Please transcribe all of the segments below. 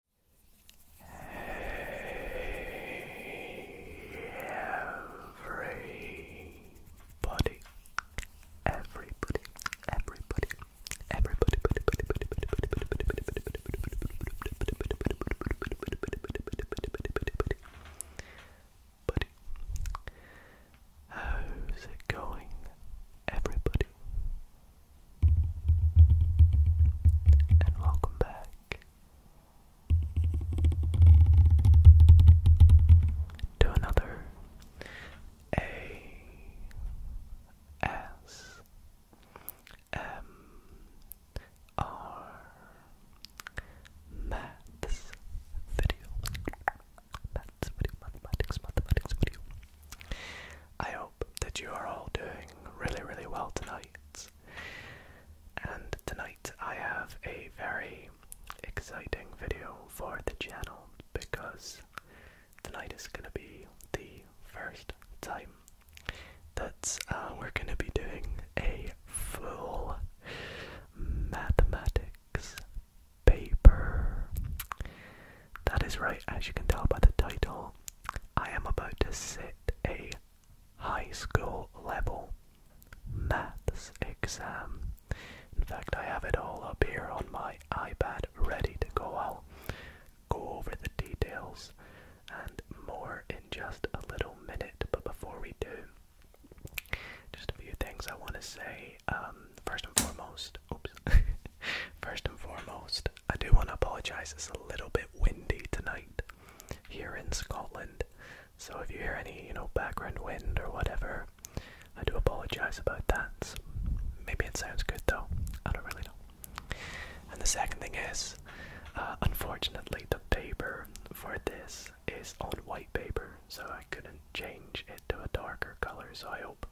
everybody, everybody, everybody, everybody, buddy. How's it going, everybody? and welcome back to another A S M R Maths video. Maths video, mathematics, mathematics video. I hope that you are all doing really, really well tonight. And tonight I have a very exciting video for the channel because tonight is going to be the first time that uh, we're going to be doing a full mathematics paper. That is right, as you can tell by the title, I am about to sit a high school level maths exam. In fact, I have it all up here on my iPad ready to go. I'll go over the details and more in just a little minute, but before we do, just a few things I want to say. Um, first and foremost, oops, first and foremost, I do want to apologise, it's a little bit windy tonight here in Scotland. So if you hear any, you know, background wind or whatever, I do apologise about that. Maybe it sounds good though, I don't really know. And the second thing is, uh, unfortunately, the paper for this is on white paper, so I couldn't change it to a darker colour, so I hope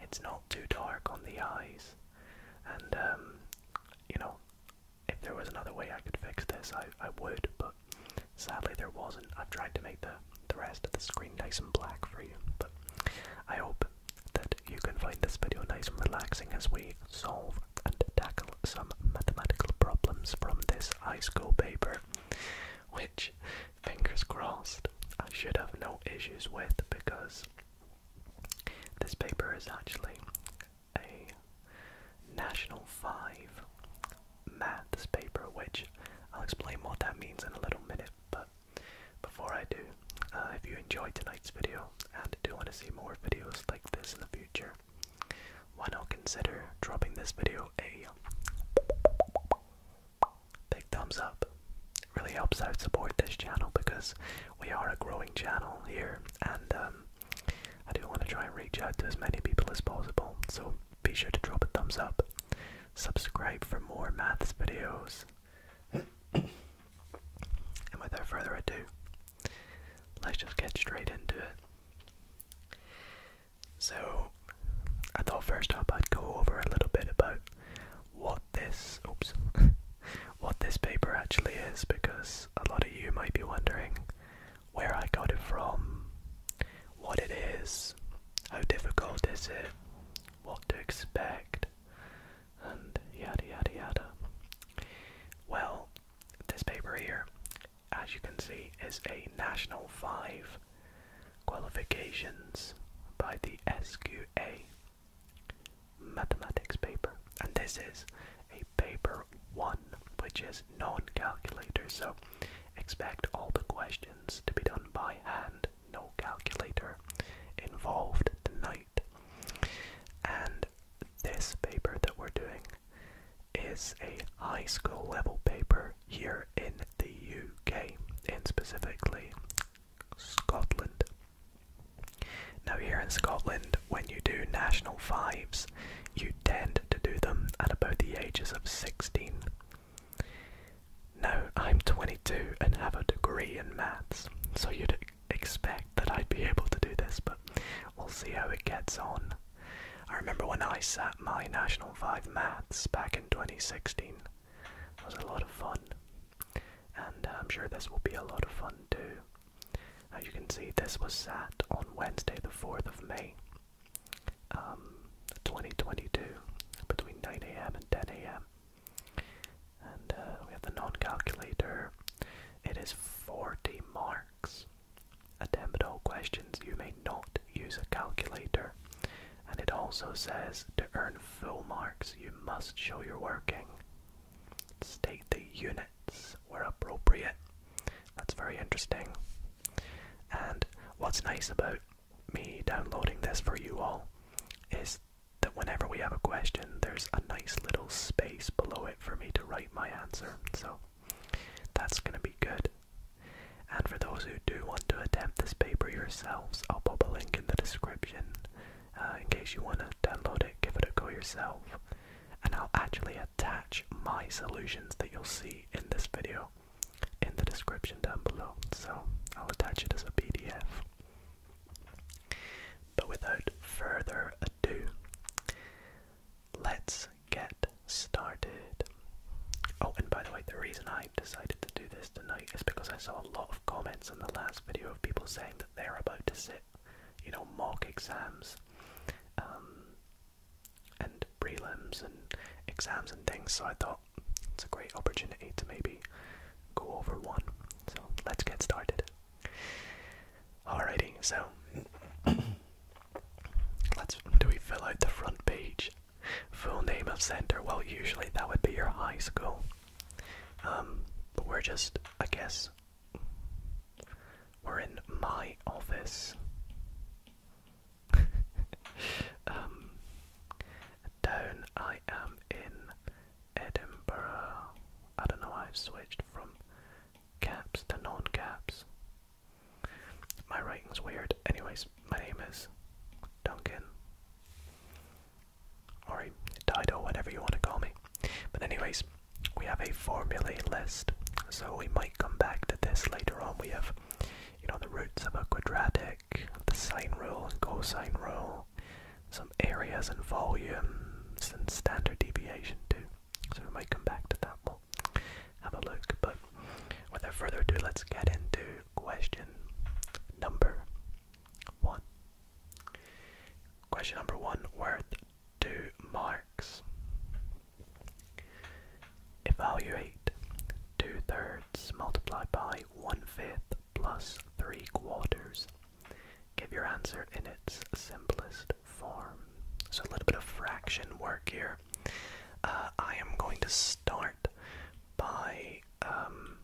it's not too dark on the eyes. And um, you know, if there was another way I could fix this, I, I would, but sadly there wasn't. I've tried to make the, the rest of the screen nice and black for you, but I hope that you can find this video nice and relaxing as we solve and tackle some mathematical problems from this high school paper, which, fingers crossed, I should have no issues with because this paper is actually a National 5 maths paper, which I'll explain what that means in a little minute. But before I do, uh, if you enjoyed tonight's video and do want to see more videos like this in the future, why not consider dropping this video a big thumbs up? It really helps out support this channel because we are a growing channel here, and um, I do want to try and reach out to as many people as possible. So be sure to drop a thumbs up, subscribe for more maths videos, and without further ado, let's just get straight into it. So, I thought first up I'd go over a little bit about. What this oops what this paper actually is because a lot of you might be wondering where I got it from, what it is, how difficult is it, what to expect, and yada yada yada. Well, this paper here, as you can see, is a National 5 qualifications by the SQA mathematics paper. And this is a paper one, which is non-calculator, so expect all the questions to be done by hand, no calculator involved tonight. And this paper that we're doing is a high school level paper here in the UK, and specifically Scotland. Now, here in Scotland, when you do national fives, you tend to do them at about the ages of 16. Now, I'm 22 and have a degree in maths, so you'd expect that I'd be able to do this, but we'll see how it gets on. I remember when I sat my National 5 maths back in 2016. It was a lot of fun and uh, I'm sure this will be a lot of fun too. As you can see, this was set on Wednesday, the 4th of May, um, 2022, between 9 a.m. and 10 a.m. And uh, we have the non calculator. It is 40 marks. A all questions, you may not use a calculator. And it also says to earn full marks, you must show your working. State the unit where appropriate. That's very interesting. And what's nice about me downloading this for you all is that whenever we have a question, there's a nice little space below it for me to write my answer. So that's going to be good. And for those who do want to attempt this paper yourselves, I'll put a link in the description uh, in case you want to download it, give it a go yourself and I'll actually attach my solutions that you'll see in this video in the description down below. So I'll attach it as a PDF. But without further ado, let's get started. Oh, and by the way, the reason I decided to do this tonight is because I saw a lot of comments in the last video of people saying that they're about to sit you know, mock exams um, and prelims and exams and things. So I thought it's a great opportunity to maybe go over one. So let's get started. Alrighty, so let's do we fill out the front page? Full name of center. Well, usually that would be your high school. Um, but we're just, I guess, we're in my office. um, down I am in Edinburgh. I don't know I've switched from caps to non-caps. My writing's weird. Anyways, my name is Duncan. Or Dido, whatever you want to call me. But anyways, we have a formula list, so we might come back to this later on. We have, you know, the roots of a quadratic, the sine rule and cosine rule, some areas and volumes, and standard deviation too. So we might come back to that. we have a look. But without further ado, let's get into question number one. Question number one, where to marks. Evaluate two thirds multiplied by one fifth plus three quarters. Give your answer in its simplest form. So a little bit of fraction work here. Uh, I am going to start by um,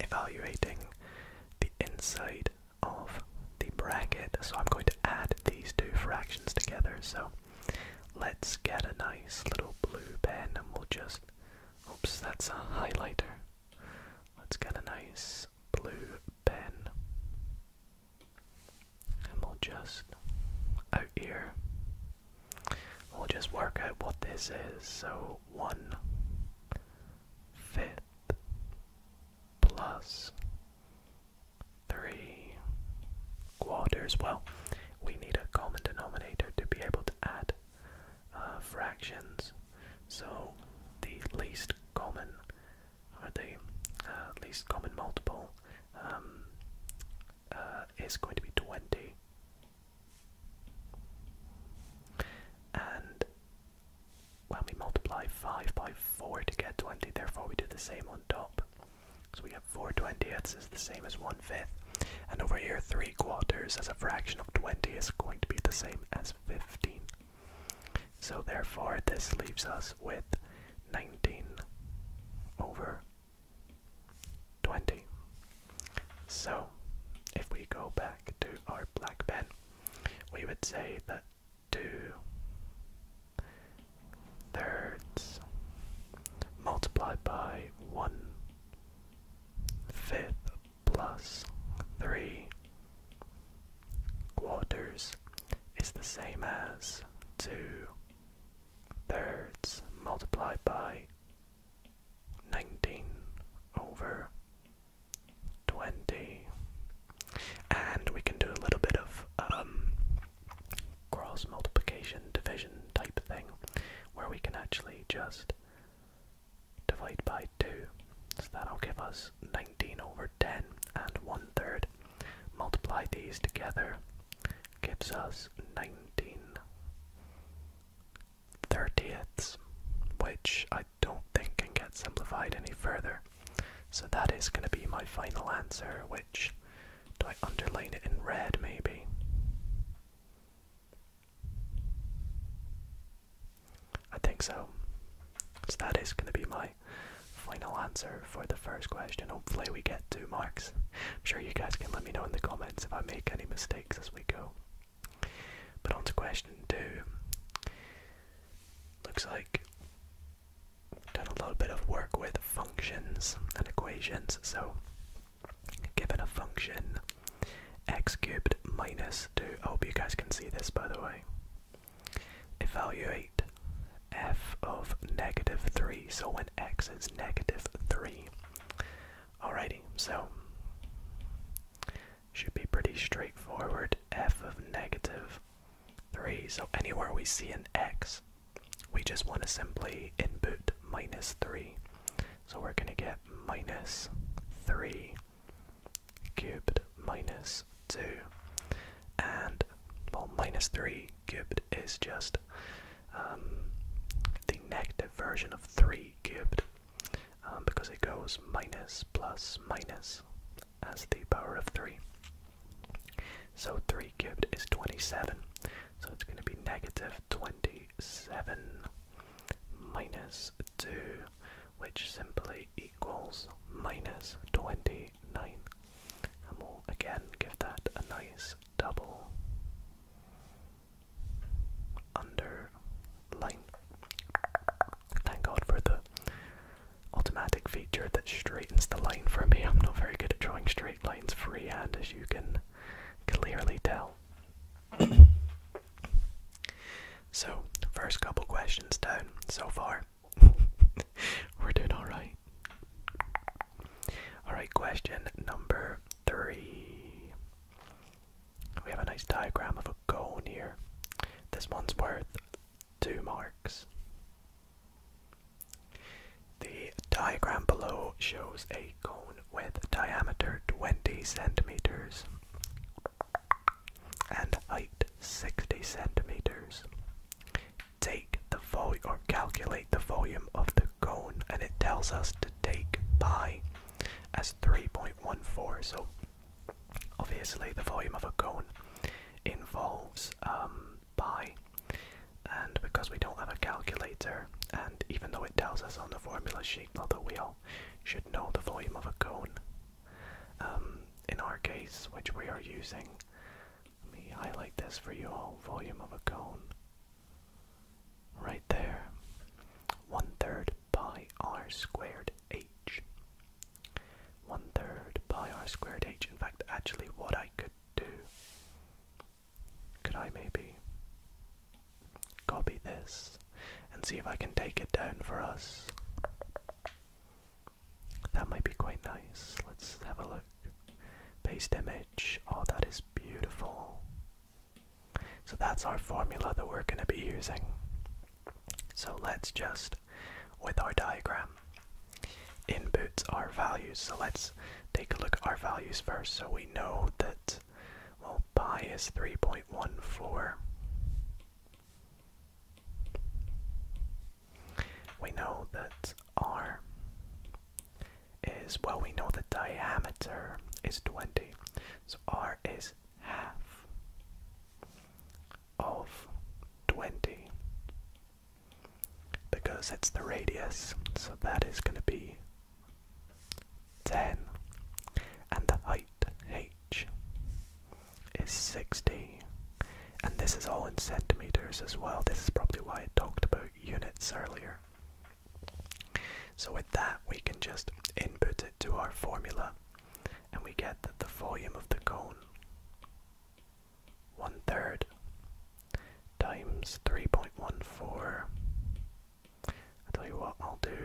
evaluating the inside of the bracket. So I'm going to add these two fractions together. So let's get a nice little blue pen and we'll just. Oops, that's a highlighter. Let's get a nice blue pen. And we'll just. Out here. We'll just work out what this is. So one fifth plus 3 quarters. Well, we need a common denominator to be able to add uh, fractions. So the least common, or the uh, least common multiple, um, uh, is going to be 20. And when we multiply 5 by 4 to get 20, therefore we do the same on top. So we have 4 twentieths is the same as 1 fifth. And over here, 3 quarters as a fraction of 20 is going to be the same as 15. So therefore, this leaves us with 19 over 20. So, if we go back to our black pen, we would say that two thirds multiplied by one fifth plus three quarters is the same as two thirds multiplied by nineteen over twenty, and we can do a little bit of um, cross multiplication division type thing, where we can actually just divide by two. So that'll give us nineteen over ten and one third. Multiply these together gives us nineteen thirtieths, which I don't think can get simplified any further. So that is going to be my final answer, which do I underline it in red maybe? I think so. So that is going to be my final answer for the first question. Hopefully, we get two marks. I'm sure you guys can let me know in the comments if I make any mistakes as we go. But on to question two. Looks like I've done a little bit of work with functions and equations. So, given a function x cubed minus 2, I hope you guys can see this by the way. Evaluate f of negative 3, so when x is negative 3. Alrighty, so should be pretty straightforward. f of negative 3. So anywhere we see an x, we just want to simply input minus 3. So we're going to get minus 3 cubed minus 2. And, well, minus 3 cubed is just um, the negative version of 3 cubed um, because it goes minus plus minus as the power of 3. So 3 cubed is 27. So it's going to be negative 27 minus 2, which simply equals minus 29. And we'll again give that a nice double underline. Thank God for the automatic feature that straightens the line for me. I'm not very good at drawing straight lines freehand, as you can clearly tell. so, first couple questions down so far. We're doing alright. Alright, question number three. We have a nice diagram of a cone here. This one's worth two marks. The diagram below shows a cone with diameter 20 centimeters and height 60 centimeters. Take the volume or calculate the volume of the cone and it tells us to take pi as 3.14 so Obviously, the volume of a cone involves pi, um, and because we don't have a calculator, and even though it tells us on the formula sheet, although we all should know the volume of a cone, um, in our case, which we are using, let me highlight this for you all volume of a cone. Right there. One third pi r squared h. 1 third pi r squared h. In fact, actually what I could do, could I maybe copy this and see if I can take it down for us? That might be quite nice. Let's have a look. Paste image. Oh, that is beautiful. So that's our formula that we're going to be using. So let's just, with our diagram, input our values. So let's take a look at our values first. So we know that, well, pi is 3.14. We know that r is, well, we know the diameter is 20. So r is half of 20 because it's the radius, so that is going to be 10 and the height h is 60 and this is all in centimeters as well. This is probably why I talked about units earlier. So with that we can just input it to our formula and we get that the volume of the cone, one third times 3.14. I tell you what, I'll do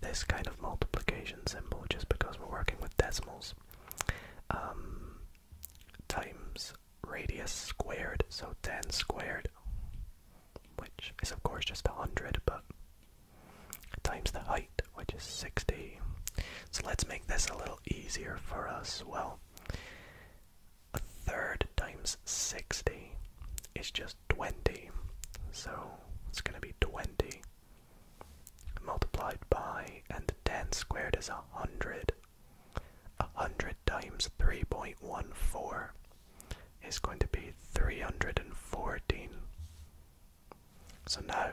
this kind of multiplication symbol just because we're working with decimals. Um, times radius squared, so 10 squared, which is of course just 100, but times the height, which is 60. So let's make this a little easier for us. Well, a third times 60 is just 20. So it's going to be 20 multiplied by, and 10 squared is 100. 100 times 3.14 is going to be 314. So now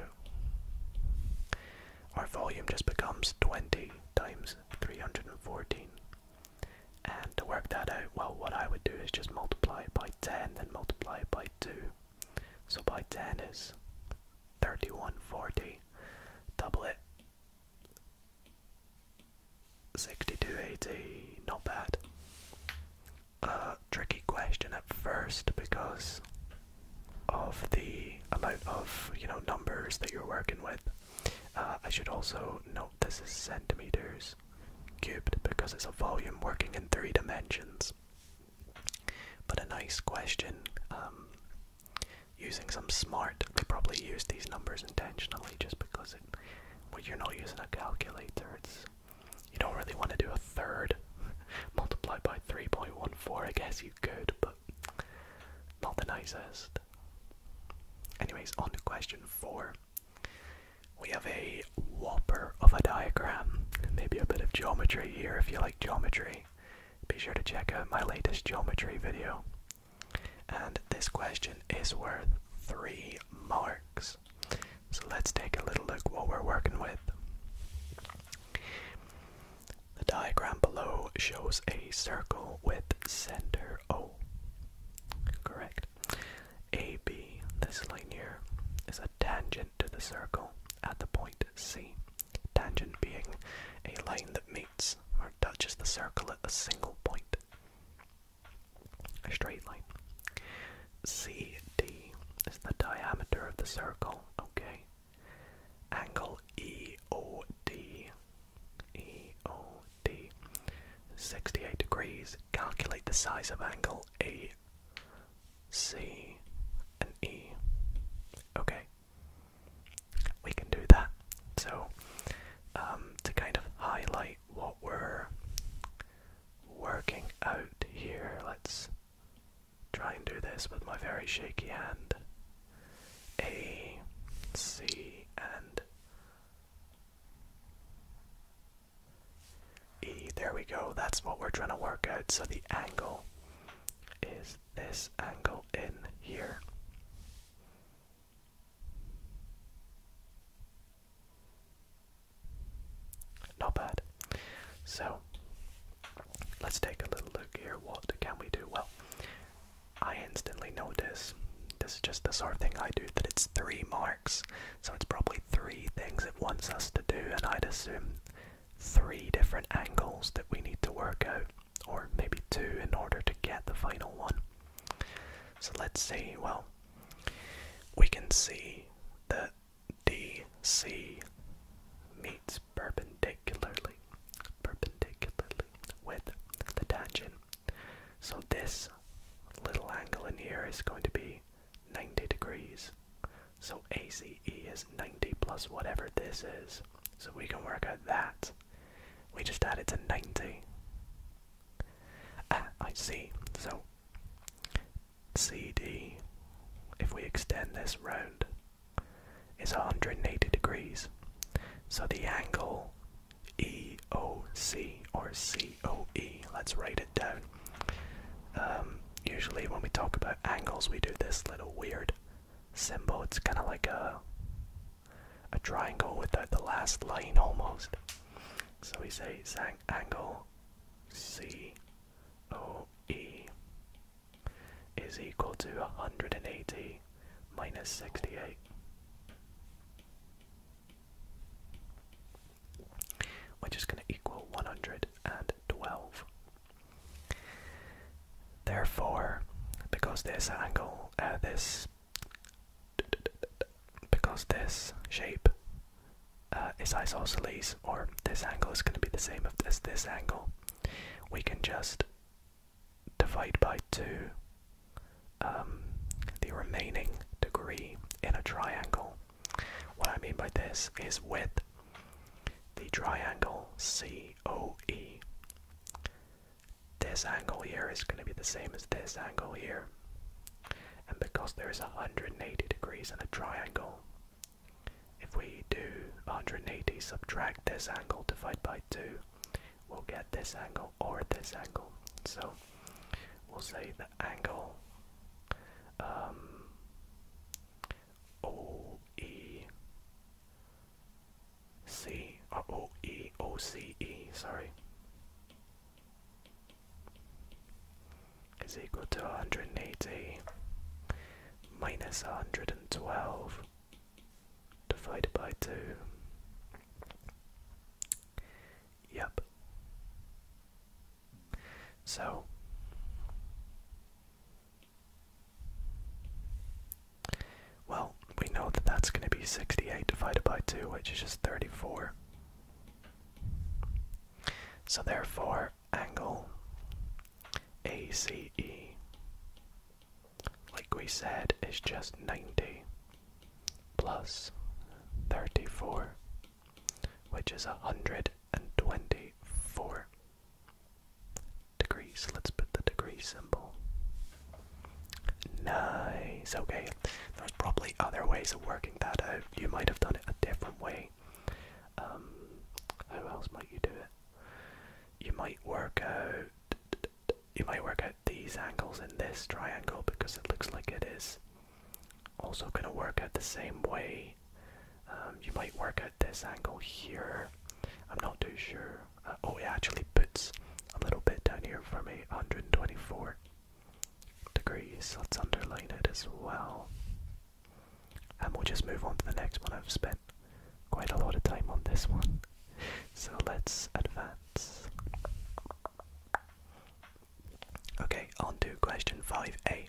our volume just becomes 20 times 314. And to work that out, well, what I would do is just multiply it by 10, then multiply it by 2. So by 10 is 3140. Double it. 6280, not bad a tricky question at first because of the amount of you know numbers that you're working with. Uh, I should also note this is centimeters cubed because it's a volume working in three dimensions. But a nice question. Um, using some smart, they probably use these numbers intentionally just because you're not using a calculator. It's you don't really want to do a third multiplied by 3.14. I guess you could, but not the nicest. Anyways, on to question four. We have a whopper of a diagram. Maybe a bit of geometry here if you like geometry. Be sure to check out my latest geometry video. And this question is worth three marks. So let's take a little look what we're working with. The diagram below shows a circle with center O. Correct. AB, this line here, is a tangent to the circle at the point C. Tangent being a line that meets or touches the circle at a single point. A straight line. CD is the diameter of the circle, okay? angle EOD, 68 degrees. Calculate the size of angle A, C, and E. Okay, we can do that. So, um, to kind of highlight what we're working out here, let's try and do this with my very shaky hand. A, C, and E. There we go. That's what we're trying to work out. So the angle is this angle in here. Not bad. So Let's take a little look here. What can we do? Well, I instantly notice this is just the sort of thing I do that it's three marks, so it's probably three things it wants us to do, and I'd assume three different angles that we need to work out, or maybe two in order to get the final one. So let's see, well, we can see that DC meets perpendicularly perpendicularly with the tangent. So this little angle in here is going to be 90 degrees. So ACE is 90 plus whatever this is. So we can work out that. We just add it to 90. Ah, I see. So CD, if we extend this round, is 180 degrees. So the angle EOC or COE, let's write it down. Um, usually, when we talk about angles, we do this little weird symbol. It's kind of like a a triangle without the last line almost. So we say angle C O E is equal to 180 minus 68. Which is going to equal 112. Therefore, because this angle, uh, this, because this shape uh, is isosceles, or this angle is going to be the same as this angle, we can just divide by 2 um, the remaining degree in a triangle. What I mean by this is with the triangle COE, this angle here is going to be the same as this angle here. And because there is 180 degrees in a triangle, if we do 180, subtract this angle, divided by 2, we'll get this angle or this angle. So we'll say the angle um, OEC or uh, OEOCE, sorry, is equal to 180 minus 112 divided by 2. Yep. So well, we know that that's going to be 68 divided by 2, which is just 34. So, therefore, angle ACE, like we said, is just 90 plus 34, which is 124 degrees. Let's put the degree symbol. Nice, okay. There's probably other ways of working that out. You might have done it a different way. Um, else might you do it? you might work out you might work out these angles in this triangle because it looks like it is also going to work out the same way. Um, you might work out this angle here. I'm not too sure. Uh, oh, it actually puts a little bit down here for me, 124 degrees. Let's underline it as well. And we'll just move on to the next one. I've spent quite a lot of time on this one. So let's advance. Okay, on to question 5a.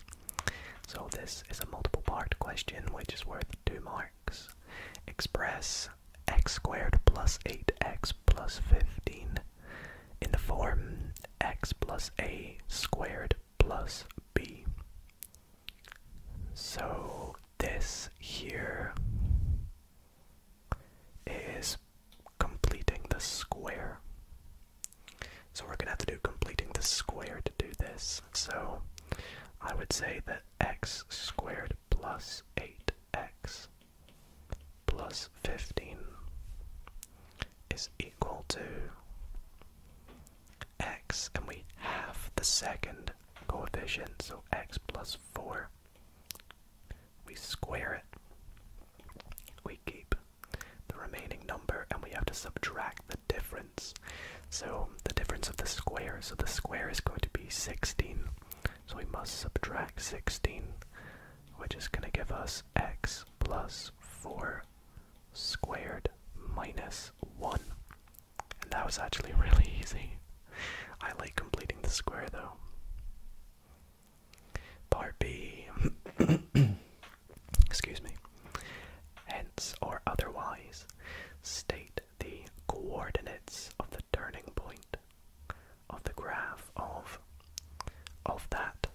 So this is a multiple part question which is worth 2 marks. Express x squared plus 8x plus 15 in the form x plus a squared plus b. So this here is completing the square. So we're gonna have to do completing the square to do this. So I would say that x squared plus 8x plus 15 is equal to x, and we have the second coefficient, so x plus 4. We square it. We keep the remaining number, and we have to subtract the difference. So the difference of the squares. so the square is going to be 16. So we must subtract 16, which is going to give us x plus 4 squared minus 1. And that was actually really easy. I like completing the square though. Part B. Excuse me. Hence or otherwise, state the coordinates of the turning point of the graph of of that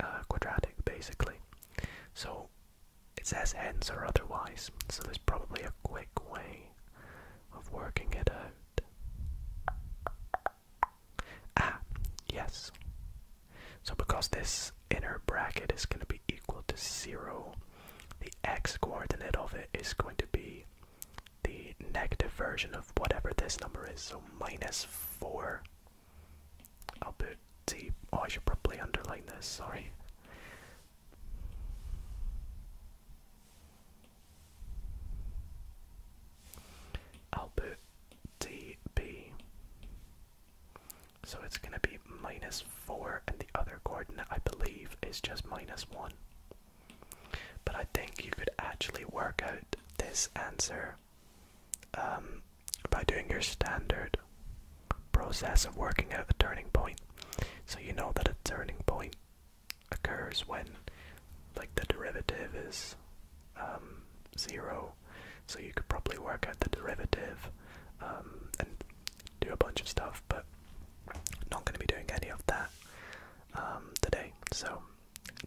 uh, quadratic, basically. So it says hence or otherwise, so there's probably a quick way of working it out. Ah, yes. So because this inner bracket is going to be equal to 0, the x coordinate of it is going to be the negative version of whatever this number is, so minus 4. I'll put D. Oh, I should probably underline this, sorry. Albert DB. So it's going to be minus 4, and the other coordinate, I believe, is just minus 1. But I think you could actually work out this answer um, by doing your standard process of working out a turning point. So you know that a turning point occurs when like the derivative is um, zero. So you could probably work out the derivative um, and do a bunch of stuff, but I'm not going to be doing any of that um, today. So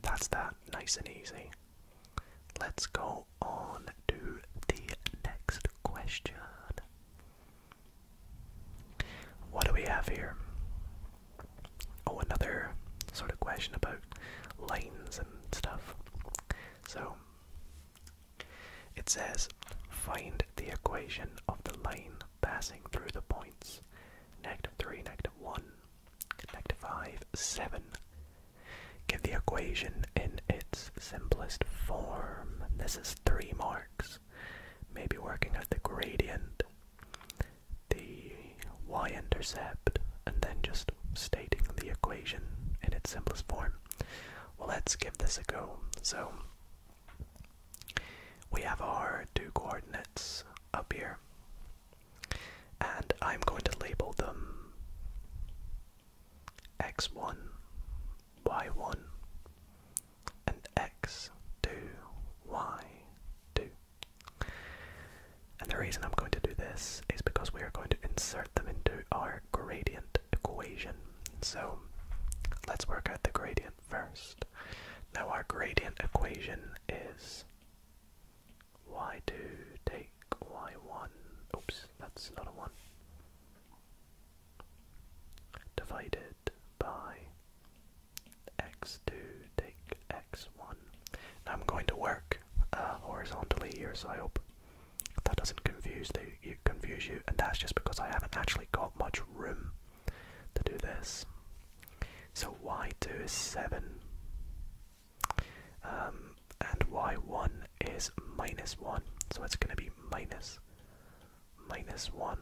that's that, nice and easy. Let's go on to the next question. What do we have here? Oh, another sort of question about lines and stuff. So it says find the equation of the line passing through the points negative 3, negative 1, negative 5, 7. Give the equation in its simplest form. This is three marks. Maybe working out the gradient, the y-intercept, and then just stating the equation in its simplest form. Well, let's give this a go. So, we have our two coordinates up here, and I'm going to label them x1, y1, and x2, y2. And the reason I'm going to do this is because we are going to insert them into our gradient equation. So let's work out the gradient first. Now our gradient equation is y2 take y1, oops, that's not a 1, divided by x2 take x1. I'm going to work uh, horizontally here, so I hope that doesn't confuse, the, you, confuse you, and that's just because I haven't actually got much room to do this. So y2 is 7, um, and y1 is minus 1, so it's going to be minus minus 1.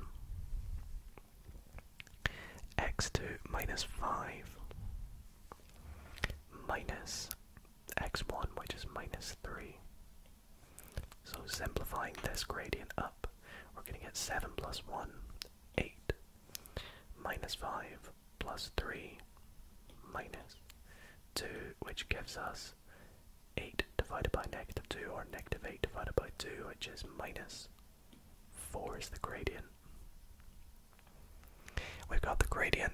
x2 minus 5 minus x1, which is minus 3. So simplifying this gradient up, we're going to get 7 plus 1, 8, minus 5 plus 3, minus 2, which gives us 8 divided by negative 2 or negative 8 divided by 2 which is minus 4 is the gradient. We've got the gradient.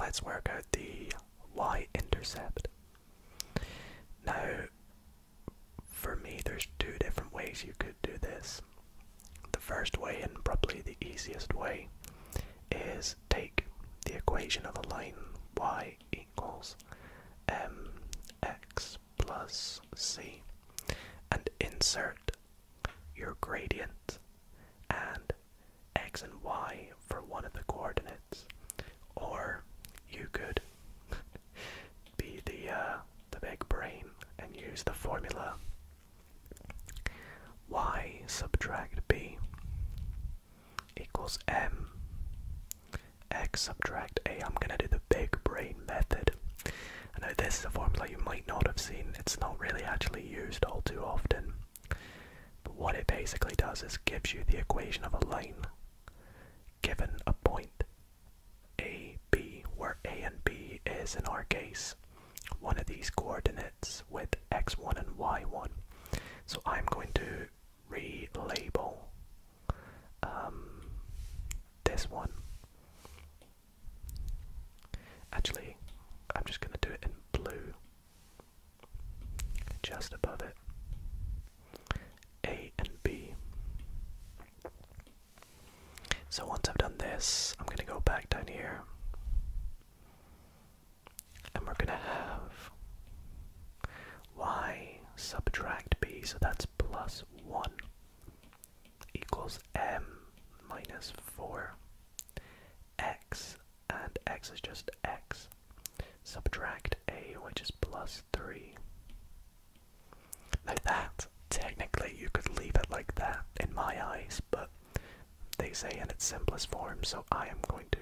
Let's work out the y-intercept. Now for me there's two different ways you could do this. The first way and probably the easiest way is take the equation of a line y equals mx plus c and insert your gradient and x and y for one of the coordinates or you could be the uh, the big brain and use the formula y subtract b equals m x subtract a. I'm gonna do the big brain method. Now this is a formula you might not have seen. It's not really actually used all too often. But what it basically does is gives you the equation of a line given a point a, b, where a and b is in our case one of these coordinates with x1 and y1. So I'm going to relabel um, this one. Actually, I'm just going to do it in blue, just above it. A and B. So once I've done this, I'm going to go back down here and we're gonna have y subtract b, so that's plus 1 equals m minus 4 x, and x is just x, subtract a, which is plus 3. Like that, technically, you could leave it like that in my eyes, but they say in its simplest form, so I am going to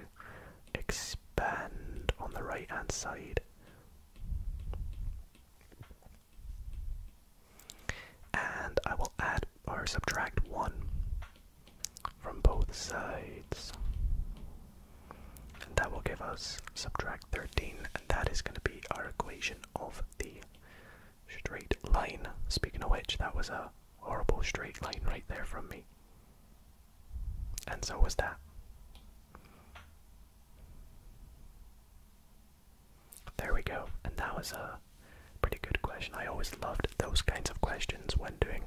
expand on the right hand side. And I will add or subtract 1 from both sides. And that will give us subtract 13, and that is going to be our equation of the straight line. Speaking of which, that was a horrible straight line right there from me. And so was that. There we go. And that was a pretty good question. I always loved those kinds of questions when doing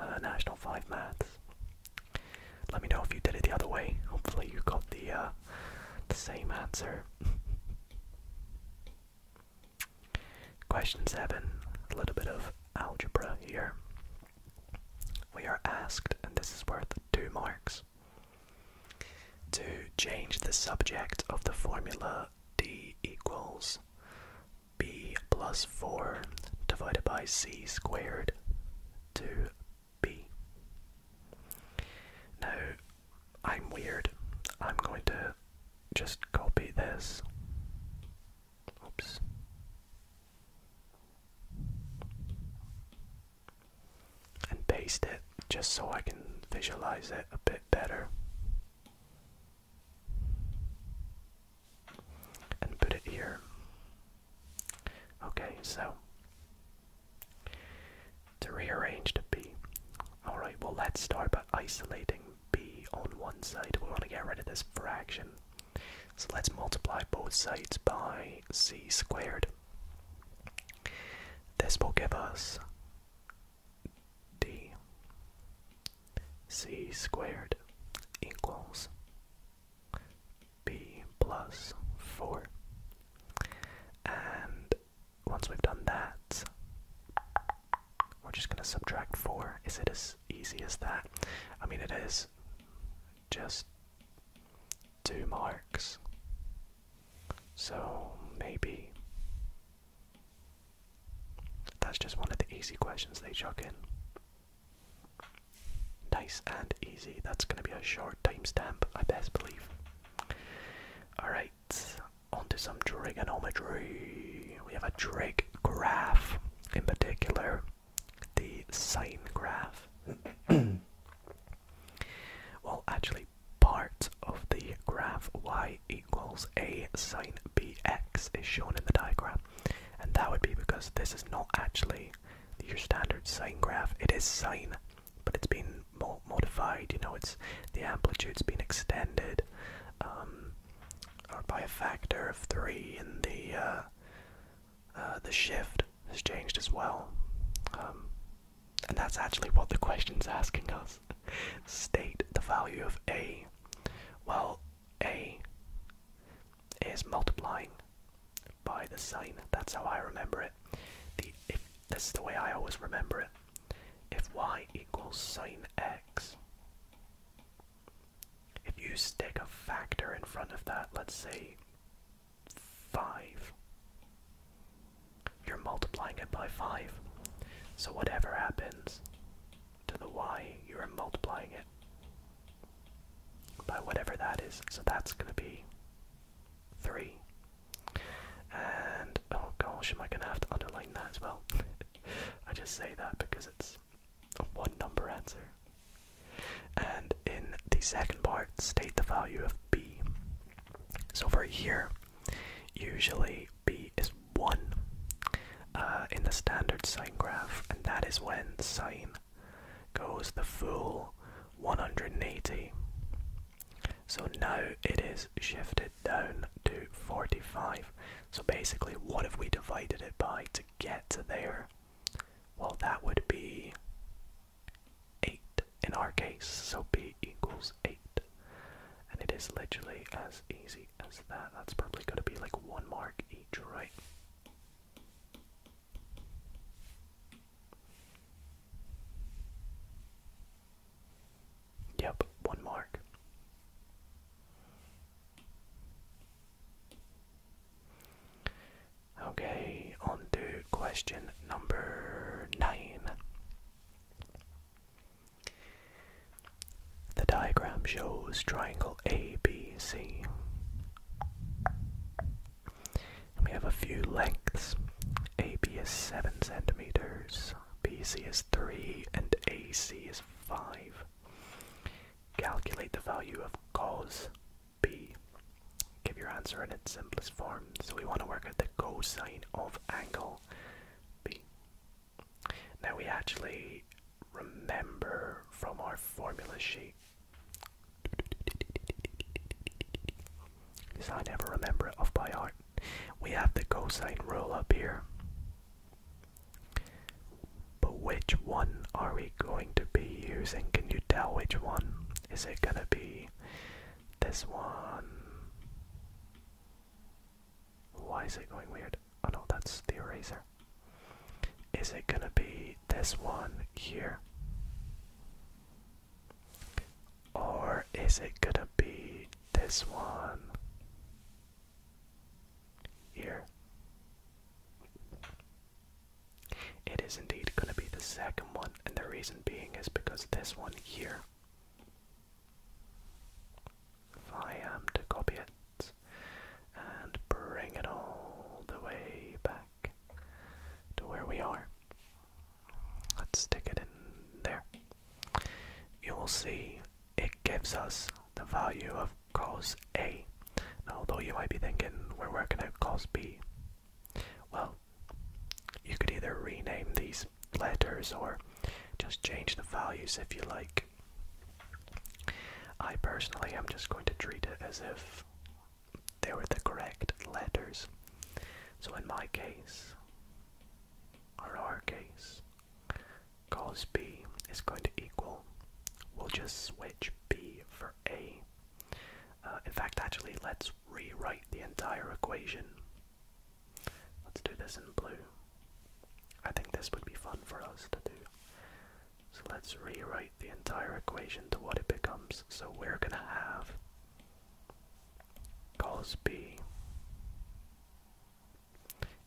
uh, National 5 Maths. Let me know if you did it the other way. Hopefully, you got the uh, same answer. Question 7 a little bit of algebra here. We are asked, and this is worth two marks, to change the subject of the formula d equals b plus 4 divided by c squared to b. Now, I'm weird. I'm going to just copy this. Oops and paste it just so I can visualize it a bit better. And put it here. Okay, so to rearrange the B. Alright, well, let's start by isolating B on one side. We want to get rid of this fraction. So let's multiply both sides by c squared. This will give us d c squared equals b plus 4. And once we've done that, we're just going to subtract 4. Is it as easy as that? I mean, it is just two marks. So maybe that's just one of the easy questions they chuck in. Nice and easy. That's going to be a short timestamp, I best believe. Alright, onto some trigonometry. We have a trig graph in particular the sine graph. well, actually, part of the graph y equals a sine bx is shown in the diagram, and that would be because this is not actually your standard sine graph. It is sine, but it's been modified. You know, it's the amplitude's been extended, um, by a factor of three, in the uh, uh, the shift has changed as well. Um, and that's actually what the question's asking us. State the value of A. Well, A is multiplying by the sine. That's how I remember it. The, if, this is the way I always remember it. If y equals sine x, if you stick a factor in front of that, let's say 5, you're multiplying it by 5. So whatever happens to the y, you're multiplying it by whatever that is. So that's going to be 3. And, oh gosh, am I going to have to underline that as well? I just say that because it's a one number answer. And in the second part, state the value of b. So for here, usually b is 1 uh, in the standard sine graph, and that is when sine goes the full 180. So now it is shifted down to 45. So basically, what have we divided it by to get to there? Well, that would be 8 in our case, so b equals 8. And it is literally as easy as that. That's probably going to be like one mark each, right? Yep, one mark. Okay, on to question number nine. The diagram shows triangle ABC. We have a few lengths. AB is 7 centimeters, BC is 3, and AC is 5. Calculate the value of cos B. Give your answer in its simplest form. So we want to work at the cosine of angle B. Now we actually remember from our formula sheet. I never remember it off by heart. We have the cosine rule up here. But which one are we going to be using? Can you tell which one? Is it gonna be this one? Why is it going weird? Oh no, that's the eraser. Is it gonna be this one here? Or is it gonna be this one here? It is indeed going to be the second one, and the reason being is because this one here. If I am to copy it and bring it all the way back to where we are, let's stick it in there. You will see it gives us the value of cause A. Now, although you might be thinking we're working at cause B, well, you could either rename these letters or just change the values if you like. I personally am just going to treat it as if they were the correct letters. So in my case, or our case, cause B is going to equal, we'll just switch B for A. Uh, in fact, actually, let's rewrite the entire equation. Let's do this in blue. I think this would be fun for us to do. So let's rewrite the entire equation to what it becomes. So we're going to have cos b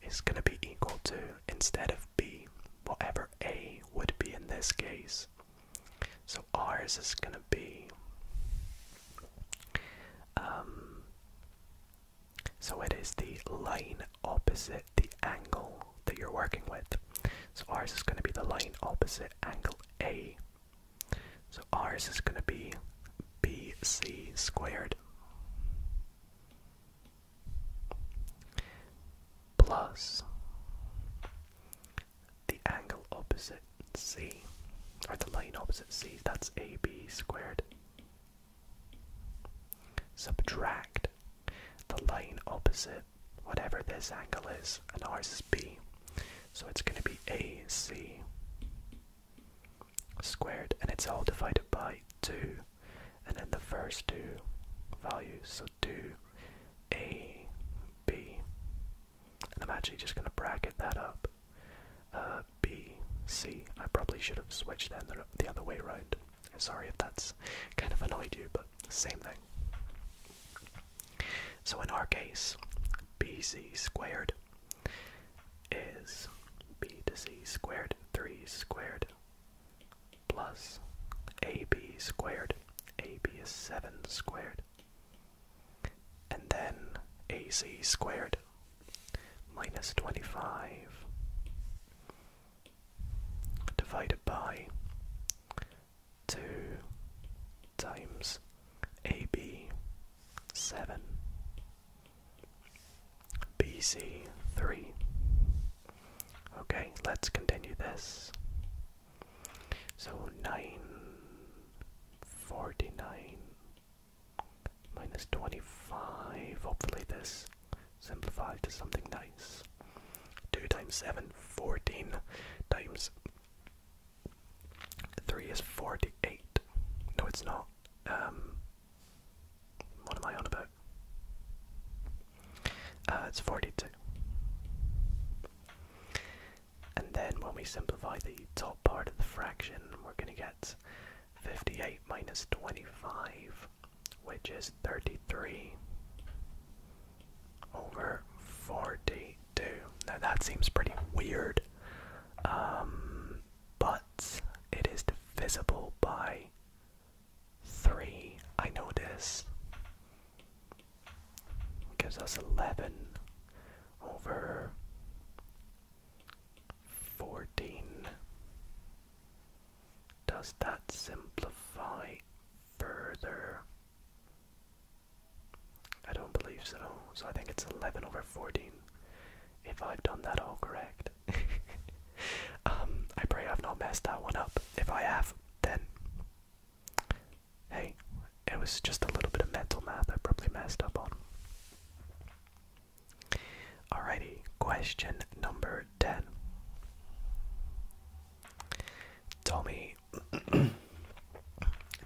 is going to be equal to, instead of b, whatever a would be in this case. So ours is going to be. Um, so it is the line opposite the angle that you're working with. So ours is going to be the line opposite angle A. So ours is going to be BC squared plus the angle opposite C, or the line opposite C, that's AB squared. Subtract the line opposite whatever this angle is, and ours is B, so it's going to be AC squared, and it's all divided by 2, and then the first two values, to a b. I'm actually just going to bracket that up. Uh, B, C. I probably should have switched that the other way around. Sorry if that's kind of annoyed you, but same thing. So in our case, BC squared is B to C squared, 3 squared plus AB squared. AB is 7 squared. And then AC squared minus 25 divided by 2 times AB 7 BC 3. Okay, let's continue this. So nine forty nine minus twenty five. Hopefully this simplified to something nice. Two times seven, fourteen times three is forty eight. No it's not. Um what am I on about? Uh, it's 42. And then when we simplify the top part of the fraction, we're going to get 58 minus 25, which is 33 over 42. Now that seems pretty weird, um, but it is divisible by 3, I know this gives us 11 over 14. Does that simplify further? I don't believe so. So I think it's 11 over 14. If I've done that all correct. um, I pray I've not messed that one up. If I have, then Hey, it was just a little bit of mental math I probably messed up on. Alrighty, question number 10. Tommy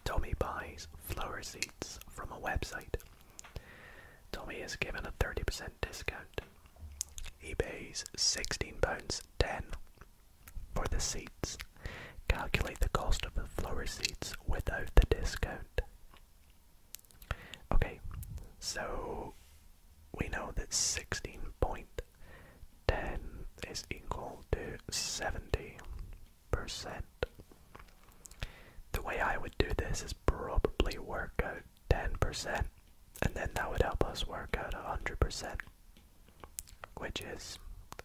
Tommy buys flower seeds from a website. Tommy is given a 30% discount. He pays £16.10 for the seats, calculate the cost of the floor seats without the discount. Okay, so we know that 16.10 is equal to 70%. The way I would do this is probably work out 10%, and then that would help us work out 100% which is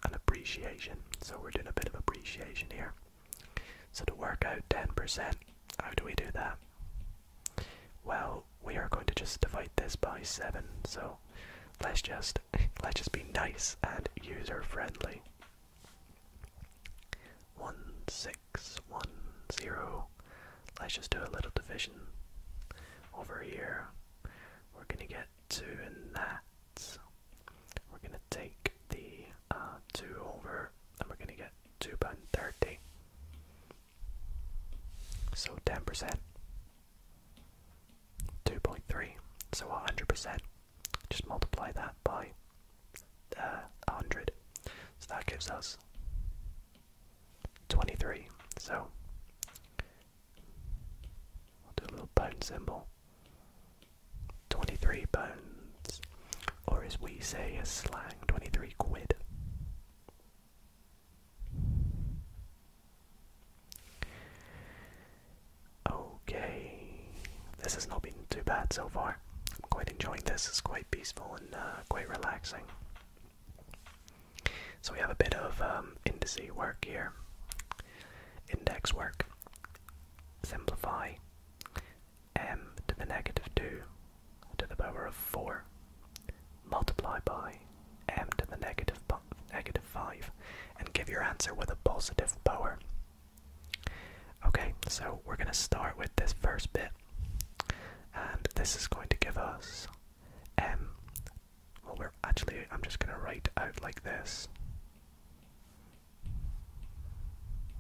an appreciation. So we're doing a bit of appreciation here. So to work out 10%, how do we do that? Well, we are going to just divide this by 7, so let's just let's just be nice and user friendly. 1610. Let's just do a little division over here we're going to get two in that. We're going to take the uh, 2 over and we're going to get 2 pound 30. So 10%. 2.3. So 100%. Just multiply that by uh, 100. So that gives us 23. So We'll do a little bone symbol. 23 bones. Or as we say as slang, 23 quid. Okay, this has not been too bad so far. I'm quite enjoying this, it's quite peaceful and uh, quite relaxing. So we have a bit of um, indice work here, index work. Simplify m to the negative 2 to the power of 4, multiply by m to the negative, negative 5, and give your answer with a positive power. Okay, so we're going to start with this first bit, and this is going to give us m well, we're actually, I'm just going to write out like this.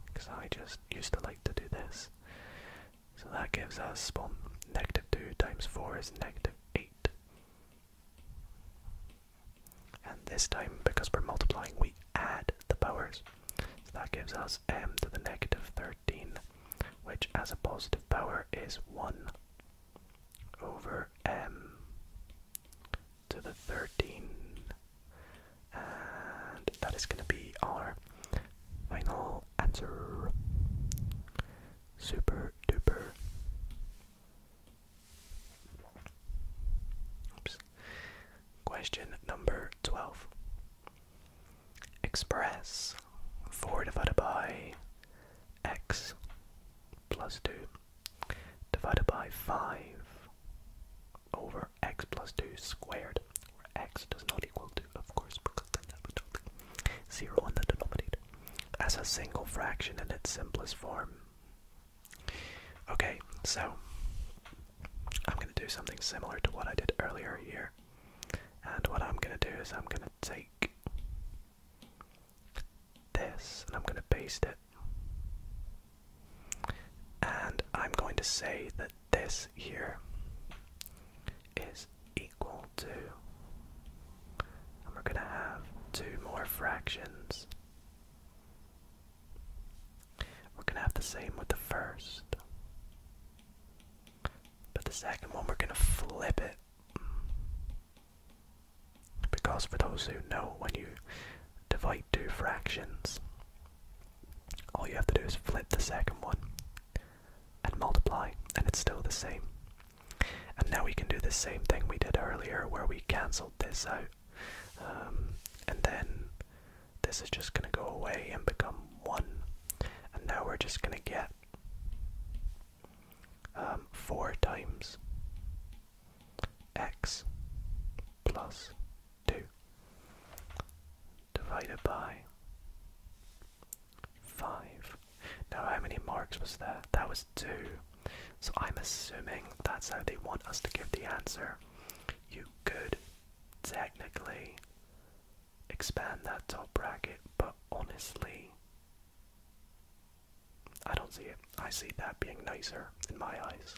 Because I just used to like to do this. So that gives us, well, negative 2 times 4 is negative 8. And this time, because we're multiplying, we add the powers. So that gives us m to the negative 13, which as a positive power is 1 over m to the 13. And that is going to be our final answer. Super duper. Oops. Question number 12. Express 4 divided by x plus 2 divided by 5 over x plus 2 squared, where x does not equal 2, of course, because then that would be 0 in the denominator, as a single fraction in its simplest form. Okay, so I'm going to do something similar to what I did earlier here. And what I'm going to do is I'm going to take this, and I'm going to paste it. And I'm going to say that this here is equal to, and we're going to have two more fractions. We're going to have the same with the first. But the second one, we're going to flip it. Because for those who know, when you divide two fractions, all you have to do is flip the second one and multiply, and it's still the same. And now we can do the same thing we did earlier where we cancelled this out. Um, and then this is just going to go away and become 1. And now we're just going to get um, 4 times x plus 2 divided by 5. Now, how many marks was that? That was 2. So I'm assuming that's how they want us to give the answer. You could technically expand that top bracket, but honestly, I don't see it. I see that being nicer in my eyes.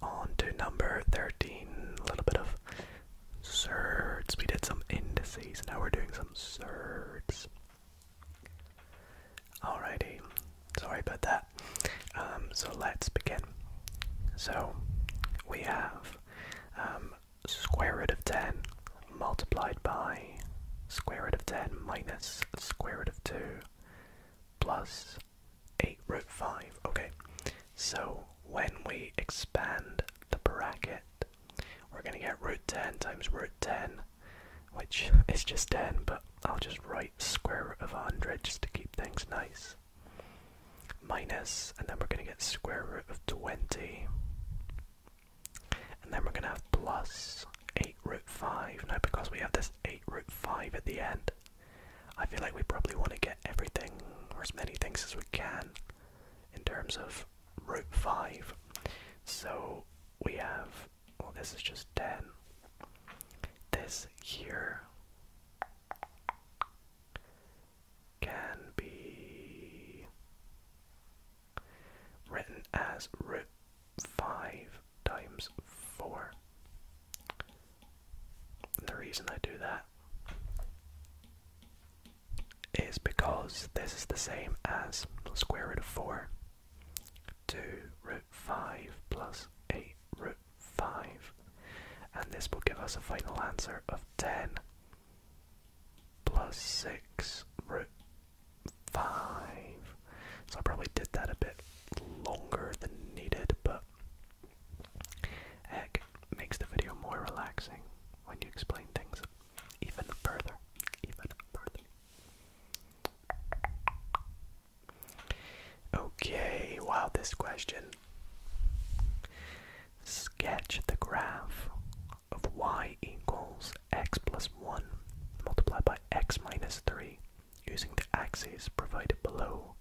On to number 13. A little bit of surds. We did some indices, now we're doing some surds. Alrighty, sorry about that. Um, so let's begin. So we have um, square root of 10 multiplied by square root of 10 minus square root of 2 plus 8 root 5. Okay, so when we expand the bracket, we're going to get root 10 times root 10, which is just 10, but I'll just write square root of 100 just to keep things nice minus, and then we're going to get square root of 20. And then we're going to have plus 8 root 5. Now, because we have this 8 root 5 at the end, I feel like we probably want to get everything, or as many things as we can, in terms of root 5. So we have, well, this is just 10. This here can be written as root 5 times 4. The reason I do that is because this is the same as square root of 4 2 root 5 plus 8 root 5 and this will give us a final answer of 10 plus 6 root 5. So I probably did that a bit longer than needed, but heck, makes the video more relaxing when you explain things even further. Even further. Okay, wow, this question. Sketch the graph of y equals x plus 1 multiplied by x minus 3 using the axes provided below.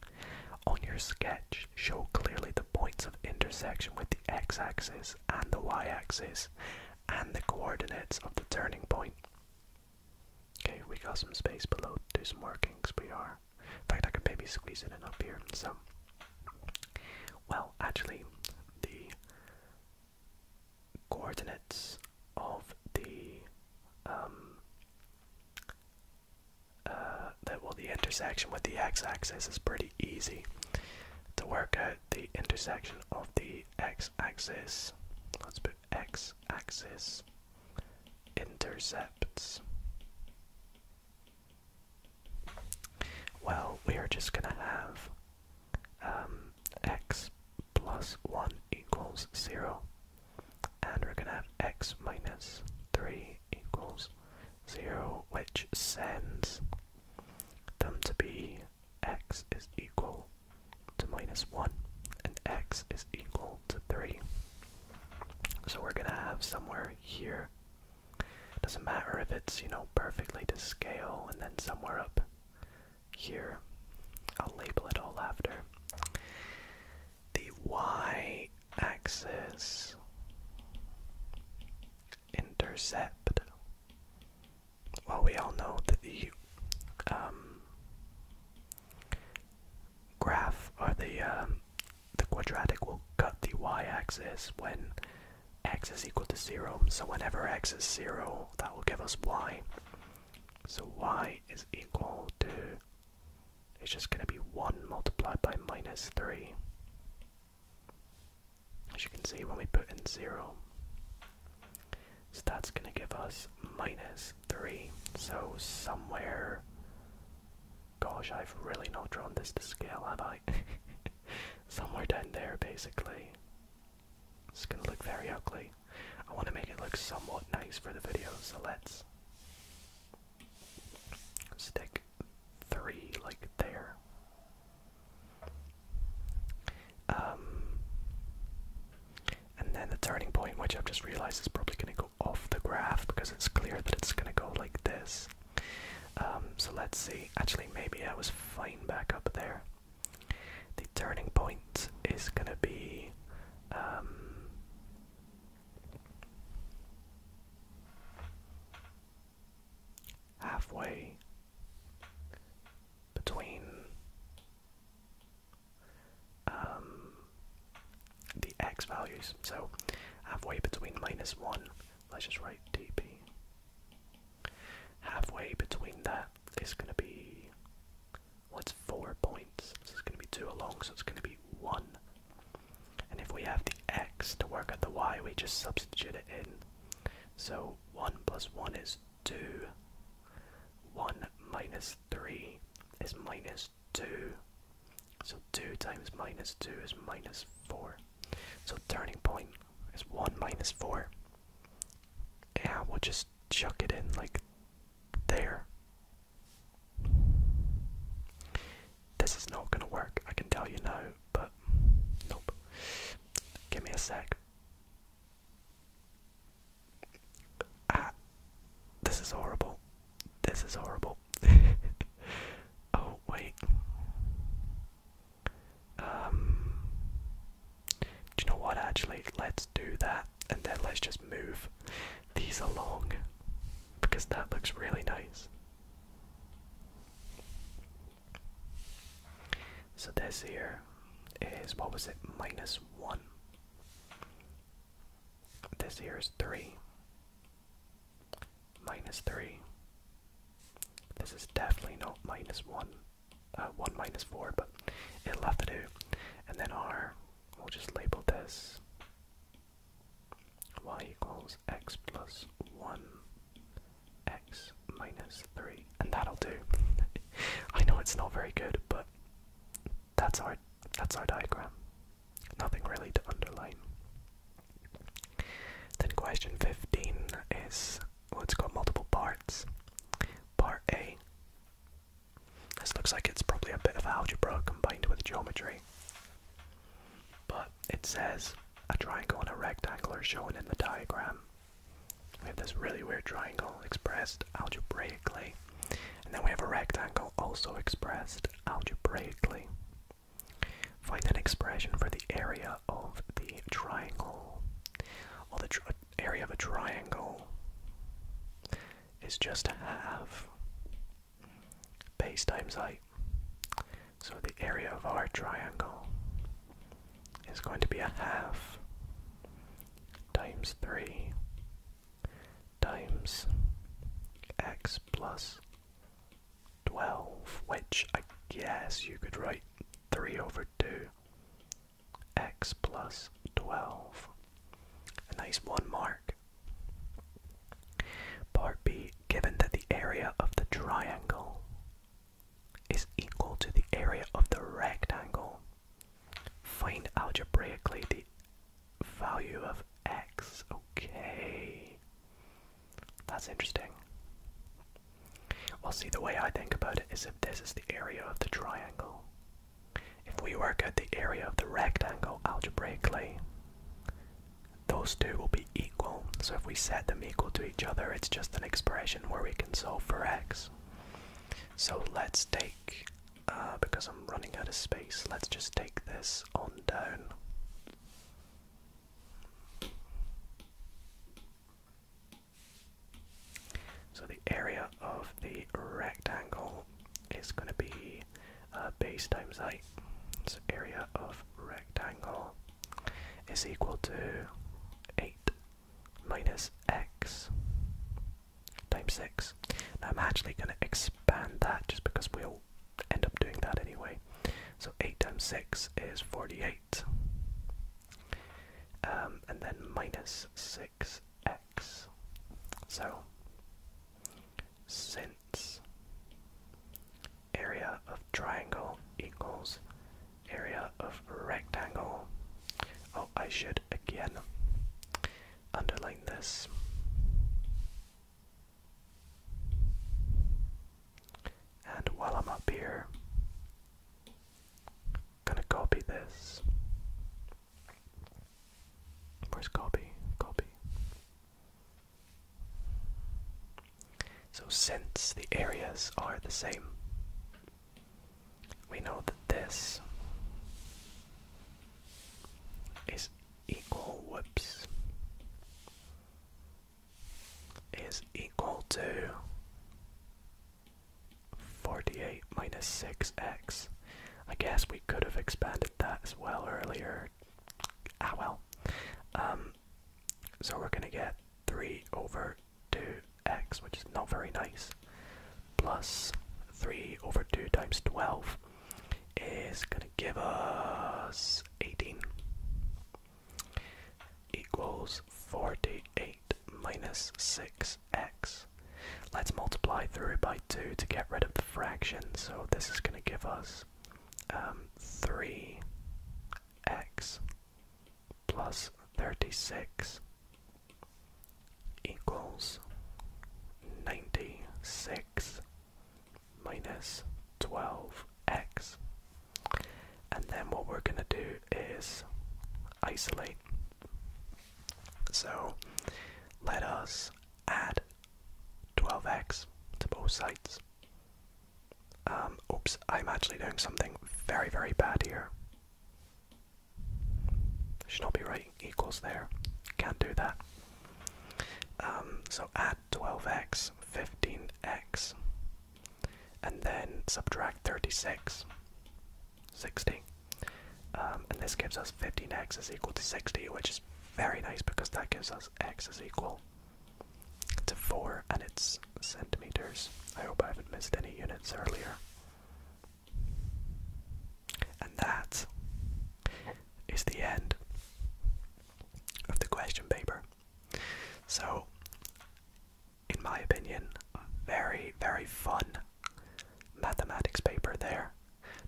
On your sketch, show clearly the points of intersection with the x-axis and the y-axis and the coordinates of the turning point. Okay, we got some space below to do some workings. we are in fact, I can maybe squeeze it in up here. So, well, actually, the coordinates of the um uh that well the intersection with the x-axis is pretty easy to work out the intersection of the x-axis let's put x-axis intercepts well, we are just going to have um, x plus 1 equals 0, and we're going to have x minus 3 equals 0, which sends them to be x is equal to minus 1 and x is equal to 3. So we're going to have somewhere here doesn't matter if it's, you know, perfectly to scale and then somewhere up here. I'll label it all after. The y axis intercept. Well, we all know that the um, graph or the um, the quadratic will cut the y-axis when x is equal to 0. So whenever x is 0, that will give us y. So y is equal to, it's just going to be 1 multiplied by minus 3. As you can see when we put in 0. So that's going to give us minus 3. So somewhere Gosh, I've really not drawn this to scale, have I? Somewhere down there, basically. It's gonna look very ugly. I want to make it look somewhat nice for the video, so let's stick three like there. Um, and then the turning point, which I've just realized is probably gonna go off the graph because it's clear that it's gonna go like this. Um, so let's see. Actually, maybe I was fine back up there. The turning point is gonna be. Um, halfway between um, the x values, so halfway between minus 1 let's just write dp. Halfway between that is going to be, what's 4 points, This is going to be 2 along, so it's going to be 1. And if we have the x to work out the y, we just substitute it in. So 1 plus 1 is 2, 1 minus 3 is minus 2, so 2 times minus 2 is minus 4. So turning point is 1 minus 4. Yeah, we'll just chuck it in like there. This is not gonna work, I can tell you now, but nope. Give me a sec. Ah, this is horrible. This is horrible. Oh. oh, wait. Um, do you know what? Actually, let's do that and then let's just move these along because that looks really nice. So, this here is what was it? Minus one. This here is three minus 3. This is definitely not minus 1, uh, 1 minus 4, but it left have to do. And then r, we'll just label this y equals x plus 1, x minus 3, and that'll do. I know it's not very good, but that's our that's our diagram. Nothing really to underline. Then question 15 is, well it's got multiple parts. Part A. This looks like it's probably a bit of algebra combined with geometry. But it says a triangle and a rectangle are shown in the diagram. We have this really weird triangle expressed algebraically, and then we have a rectangle also expressed algebraically. Find an expression for the area of the triangle. Well, the area of a triangle is just half base times height. So the area of our triangle is going to be a half times 3 times x plus 12, which I guess you could write 3 over 2 x plus 12. A nice one mark. Part B, given that the area of the triangle is equal to the area of the rectangle, find algebraically the value of x. Okay. That's interesting. Well, see, the way I think about it is if this is the area of the triangle, if we work out the area of the rectangle algebraically, those two will be equal. So if we set them equal to each other, it's just an expression where we can solve for x. So let's take, uh, because I'm running out of space, let's just take this on down. So the area of the rectangle is going to be uh, base times height. So area of rectangle is equal to 8 minus x times 6. Now I'm actually going to expand that just because we'll end up doing that anyway. So 8 times 6 is 48. Um, and then minus 6x. So, since area of triangle equals area of rectangle. Oh, I should again underline this. And while I'm up here, gonna copy this. Where's copy? Copy. So since the areas are the same, we know that this is equal, whoops, is equal to 48 minus 6x. I guess we could have expanded that as well earlier. Ah well. Um, so we're going to get 3 over 2x, which is not very nice, plus 3 over 2 times 12 is going to give us 18 equals 48 minus 6x. Let's multiply through by 2 to get rid of the fraction, so this is going to give us 3x um, plus 36 equals 96 minus 12x. And then what we're going to do is isolate. So let us add 12x to both sides. Um, oops, I'm actually doing something very, very bad here. Should not be writing equals there. Can't do that. Um, so add 12x, 15x, and then subtract 36, 60. Um, and this gives us 15x is equal to 60, which is very nice because that gives us x is equal to 4 and it's centimeters. I hope I haven't missed any units earlier. And that is the end of the question paper. So, in my opinion, very, very fun mathematics paper there.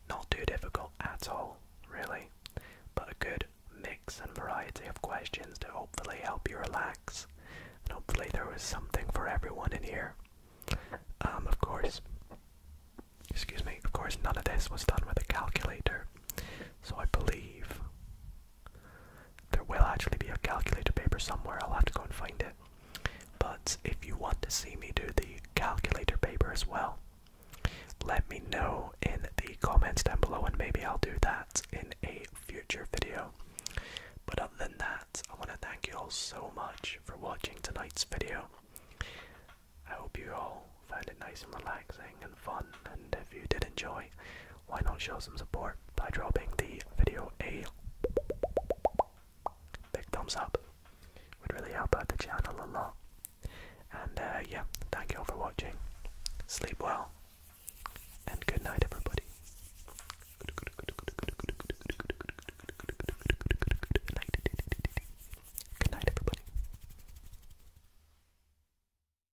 Not too difficult at all, really, but a good mix and variety of questions to hopefully help you relax. And hopefully, there was something for everyone in here. Um, of course, excuse me, of course, none of this was done with a calculator, so I believe there will actually be a calculator paper somewhere, I'll have to go and find it. But if you want to see me do the calculator paper as well, let me know in the comments down below and maybe I'll do that in a future video. But other than that, I want to thank you all so much for watching tonight's video. I hope you all found it nice and relaxing and fun, and if you did enjoy, why not show some support by dropping the video a big thumbs up? Would really help out the channel a lot. And uh, yeah, thank you all for watching. Sleep well, and good night, everybody. Good night, everybody.